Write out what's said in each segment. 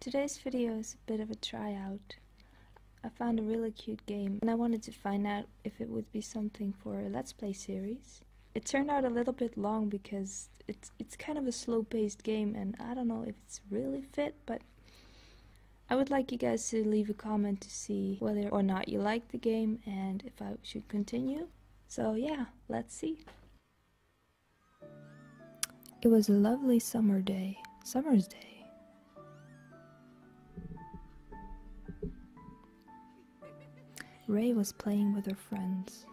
Today's video is a bit of a tryout. I found a really cute game and I wanted to find out if it would be something for a Let's Play series. It turned out a little bit long because it's, it's kind of a slow-paced game and I don't know if it's really fit, but I would like you guys to leave a comment to see whether or not you like the game and if I should continue. So yeah, let's see. It was a lovely summer day, summer's day. Ray was playing with her friends.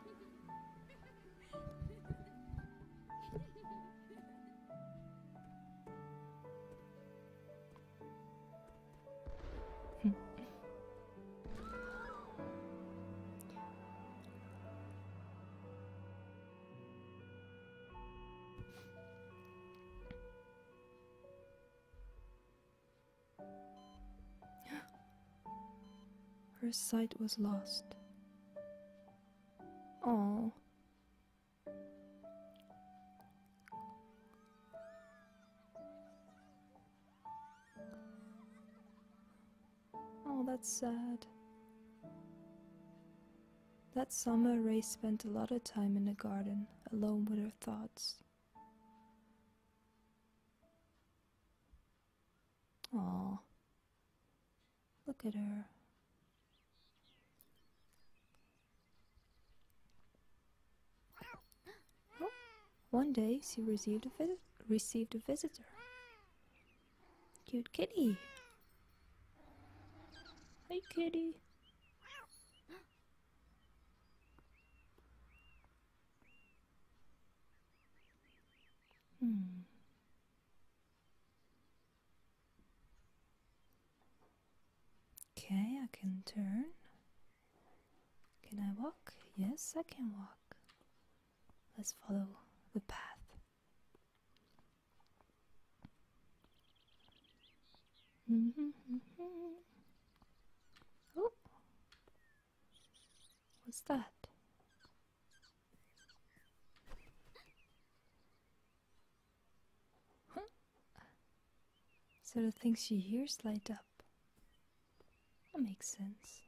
Her sight was lost. Oh. Oh, that's sad. That summer, Ray spent a lot of time in the garden, alone with her thoughts. Aww. Look at her. One day she received a, visit received a visitor. Cute kitty. Hey kitty. Hmm. Okay, I can turn. Can I walk? Yes, I can walk. Let's follow the path. Mm-hmm, mm-hmm. Oh, what's that? Huh? So the things she hears light up. That makes sense.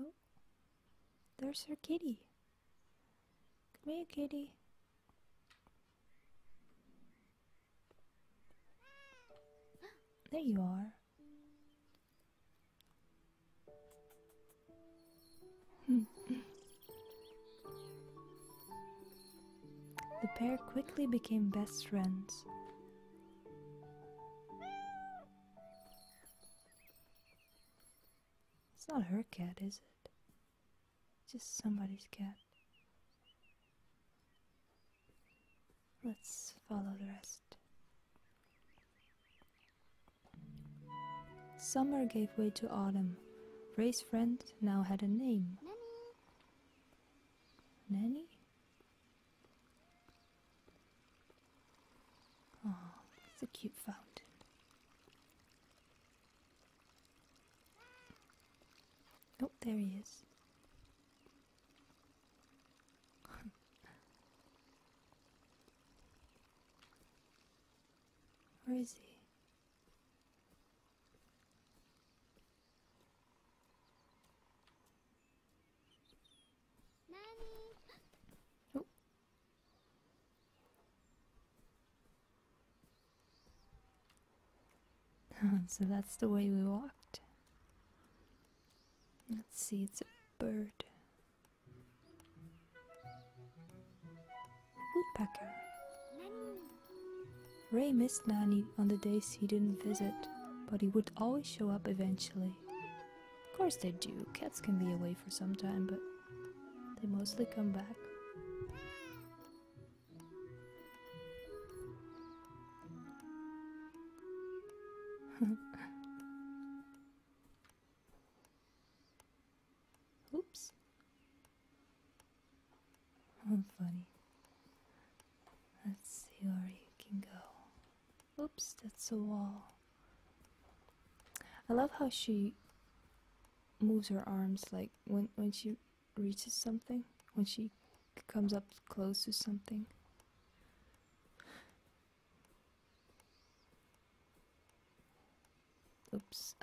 Oh, there's her kitty. Come here, kitty. There you are. the pair quickly became best friends. It's not her cat, is it? Just somebody's cat. Let's follow the rest. Summer gave way to autumn. Ray's friend now had a name. Nanny? Nanny? Oh, it's a cute fountain. Oh, there he is. Where is he? Oh. so that's the way we walked. Let's see, it's a bird. Woodpecker. Ray missed Nanny on the days he didn't visit, but he would always show up eventually. Of course they do, cats can be away for some time, but they mostly come back. Oops. Oh, funny. Let's see where you can go. Oops, that's a wall. I love how she moves her arms like when when she reaches something, when she comes up close to something. Oops.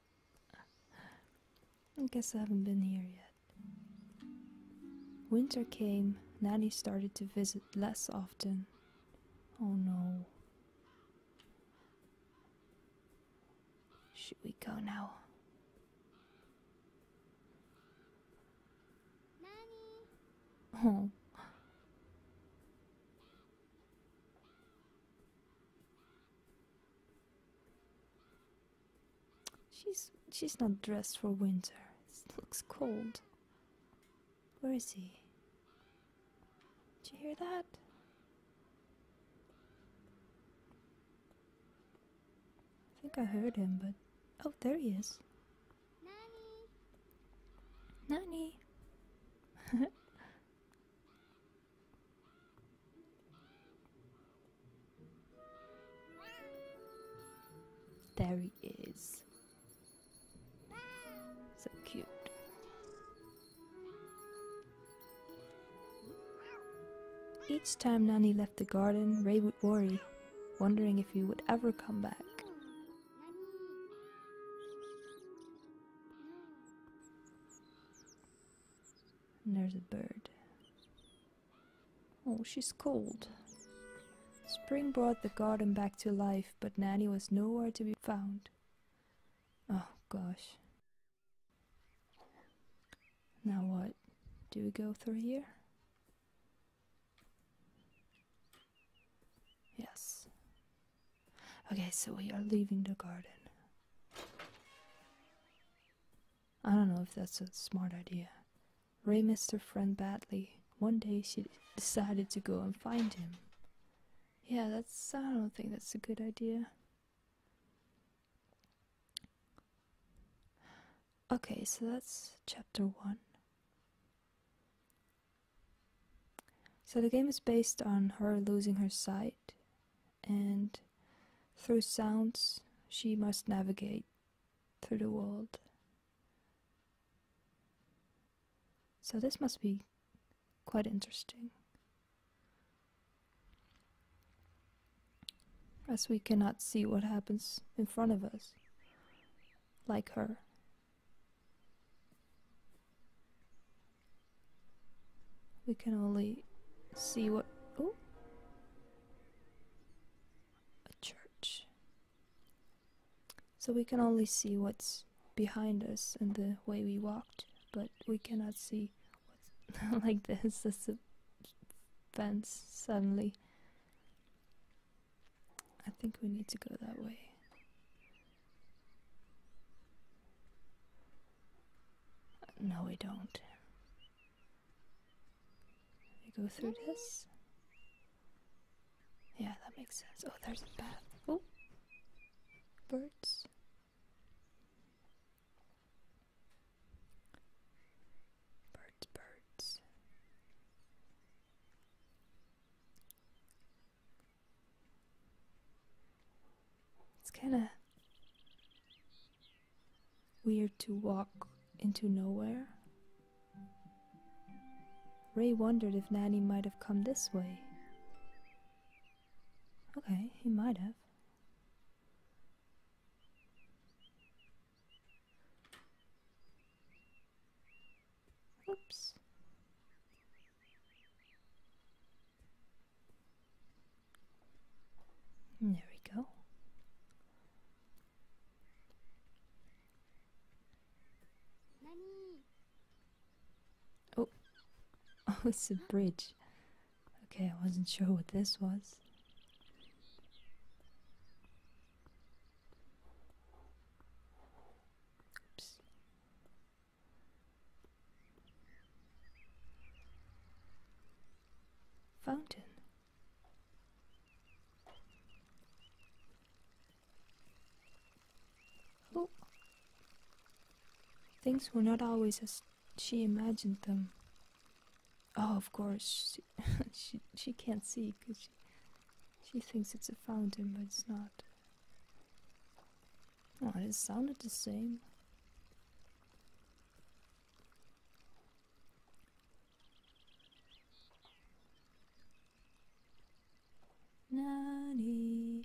I guess I haven't been here yet. Winter came, Nanny started to visit less often. Oh no. Should we go now? Oh. She's she's not dressed for winter. It looks cold. Where is he? Did you hear that? I think I heard him, but... Oh, there he is. Nani? Nani? there he is. So cute. Each time Nani left the garden, Ray would worry wondering if you would ever come back. there's a bird. Oh, she's cold. Spring brought the garden back to life, but Nanny was nowhere to be found. Oh, gosh. Now what? Do we go through here? Yes. Okay, so we are leaving the garden. I don't know if that's a smart idea. Ray missed her friend badly. One day she decided to go and find him. Yeah, that's. I don't think that's a good idea. Okay, so that's chapter 1. So the game is based on her losing her sight, and through sounds, she must navigate through the world. So this must be quite interesting as we cannot see what happens in front of us, like her. We can only see what. Oh! A church. So we can only see what's behind us and the way we walked, but we cannot see what's. like this, this fence suddenly I think we need to go that way. No, we don't. We go through this? Yeah, that makes sense. Oh, there's a bath. Oh! Birds. Birds, birds. It's kind of weird to walk into nowhere. Ray wondered if Nanny might have come this way. Okay, he might have. Oops. There we go. Oh, oh, it's a bridge. Okay, I wasn't sure what this was. Fountain. Oh. Things were not always as she imagined them. Oh, of course, she she, can't see because she she thinks it's a fountain, but it's not. Oh, it sounded the same. Nani.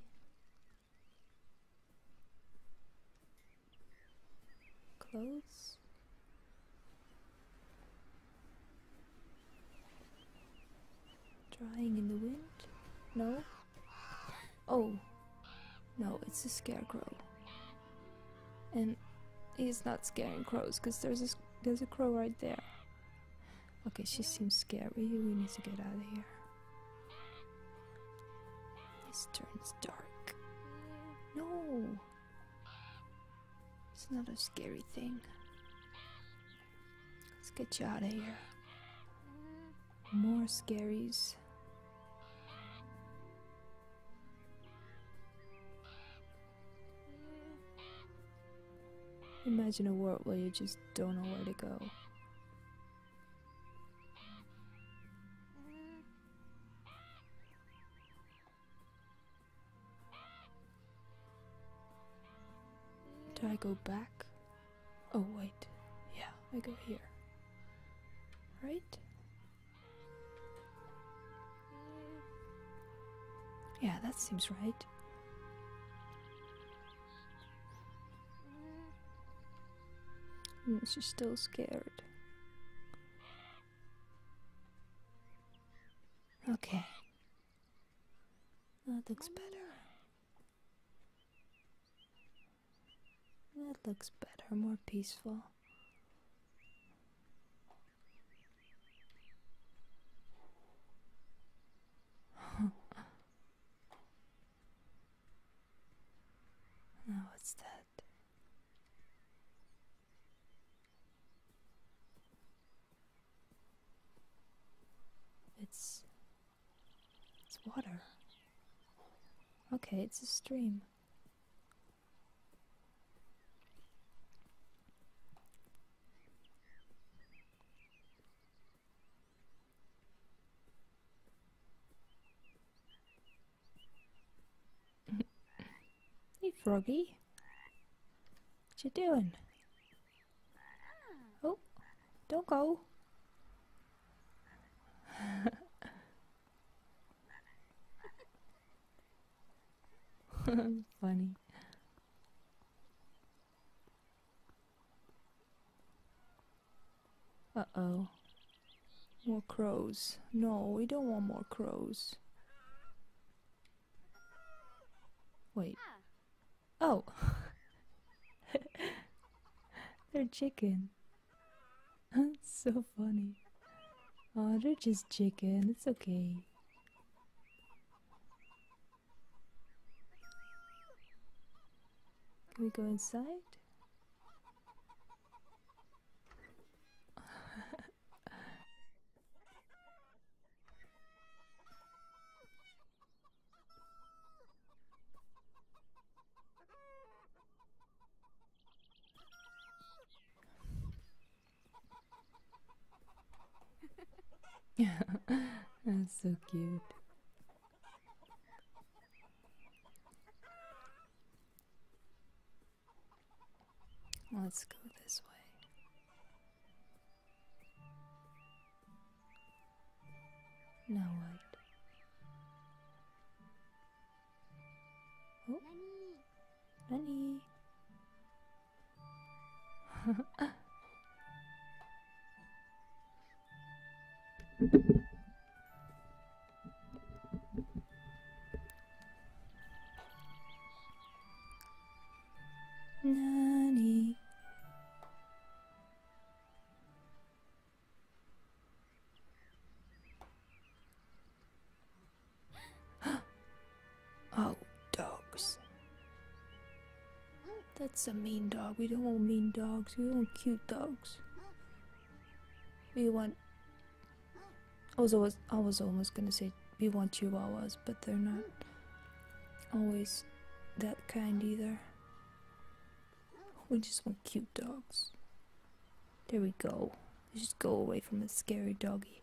Close. Drying in the wind? No? Oh. No, it's a scarecrow. And he's not scaring crows, because there's a, there's a crow right there. Okay, she seems scary. We need to get out of here. This turns dark. No! It's not a scary thing. Let's get you out of here. More scaries. Imagine a world where you just don't know where to go. Do I go back? Oh, wait. Yeah, I go here. Right? Yeah, that seems right. she's still scared. Okay. That looks better. That looks better, more peaceful. now what's that? It's. It's water. Okay, it's a stream. hey, Froggy. What you doing? Oh, don't go. Funny. Uh-oh. More crows. No, we don't want more crows. Wait. Oh! they're chicken. It's so funny. Oh, they're just chicken. It's okay. Can we go inside? That's so cute. Let's go this way. Now what? Oh. Nani? oh, dogs. That's a mean dog. We don't want mean dogs. We want cute dogs. We want I was always I was almost gonna say we want chihuahuas, but they're not always that kind either. We just want cute dogs. There we go. Let's just go away from the scary doggy.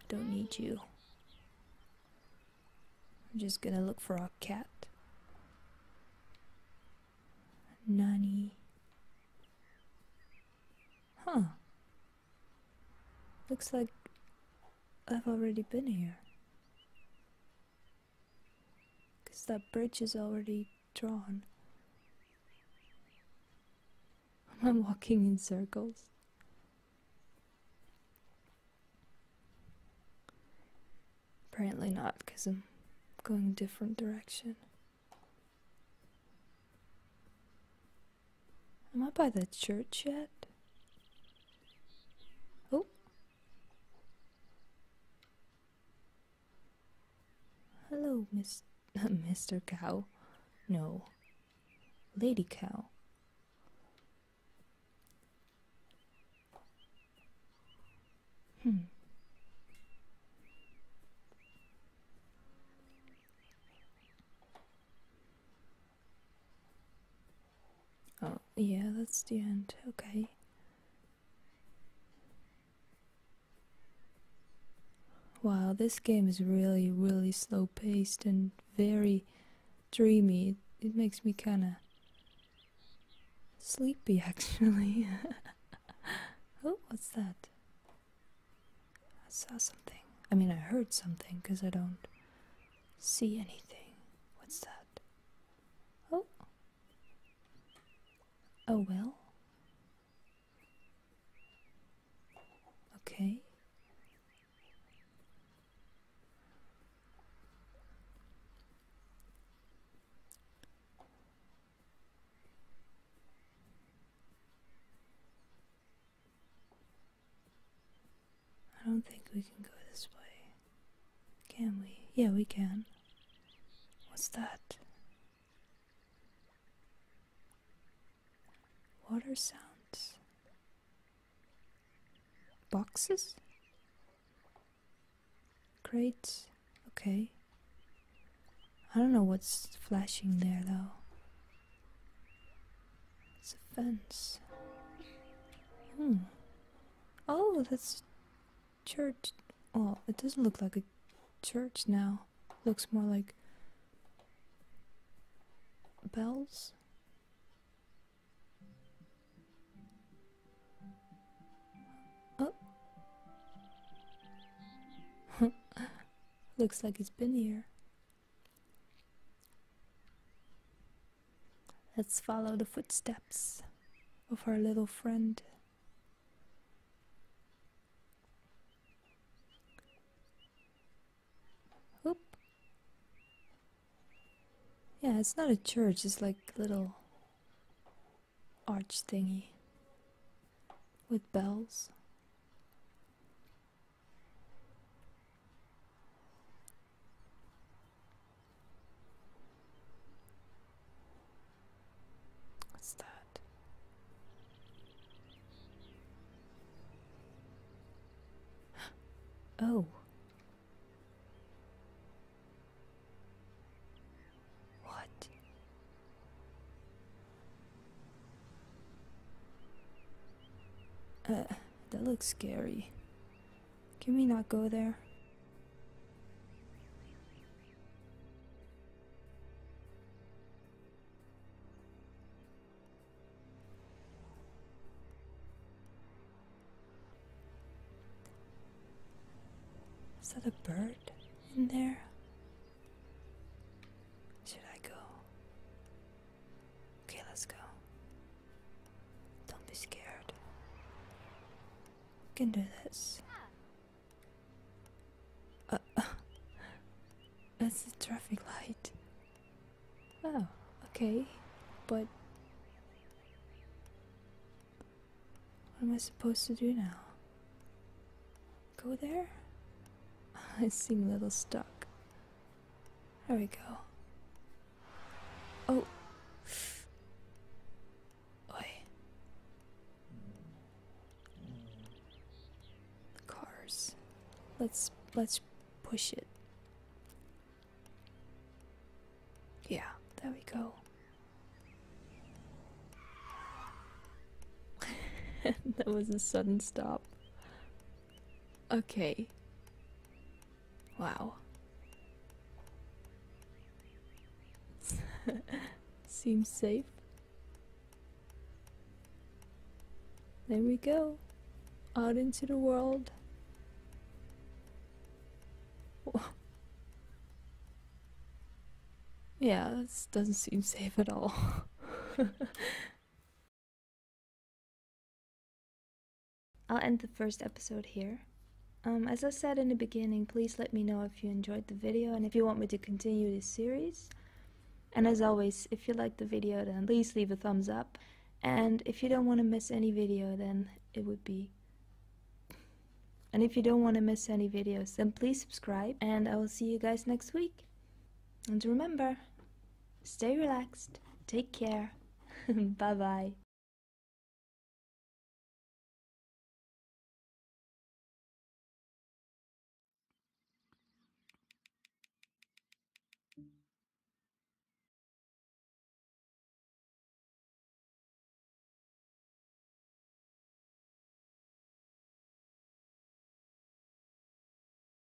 I don't need you. I'm just gonna look for our cat. Nanny. Huh. Looks like I've already been here. Because that bridge is already drawn. I'm walking in circles. Apparently not, because I'm going a different direction. Am I by the church yet? Oh. Hello, Miss. Mr. Cow. No. Lady Cow. Hmm. Oh, yeah, that's the end. Okay. Wow, this game is really, really slow paced and very dreamy. It, makes me kinda sleepy actually. oh, what's that? I saw something. I mean, I heard something because I don't see anything. What's that? Oh. Oh, well. Okay. I don't think we can go this way. Can we? Yeah, we can. What's that? Water sounds. Boxes? Crates? Okay. I don't know what's flashing there though. It's a fence. Hmm. Oh, that's church. Oh, it doesn't look like a church now. looks more like bells. Oh. looks like it has been here. Let's follow the footsteps of our little friend. Oop. Yeah, it's not a church, it's like little arch thingy with bells. What's that? oh. What? Uh, that looks scary. Can we not go there? Is that a bird in there? Should I go? Okay, let's go. Don't be scared. We can do this. Uh, that's the traffic light. Oh, okay. But what am I supposed to do now? Go there? I seem a little stuck. There we go. Oh. Oi. cars. Let's let's push it. Yeah, there we go. that was a sudden stop. Okay. Wow. Seems safe. There we go. Out into the world. yeah, this doesn't seem safe at all. I'll end the first episode here. Um, as I said in the beginning, please let me know if you enjoyed the video and if you want me to continue this series. And as always, if you liked the video, then please leave a thumbs up. And if you don't want to miss any video, then it would be... And if you don't want to miss any videos, then please subscribe. And I will see you guys next week. And remember, Stay relaxed. Take care. bye bye.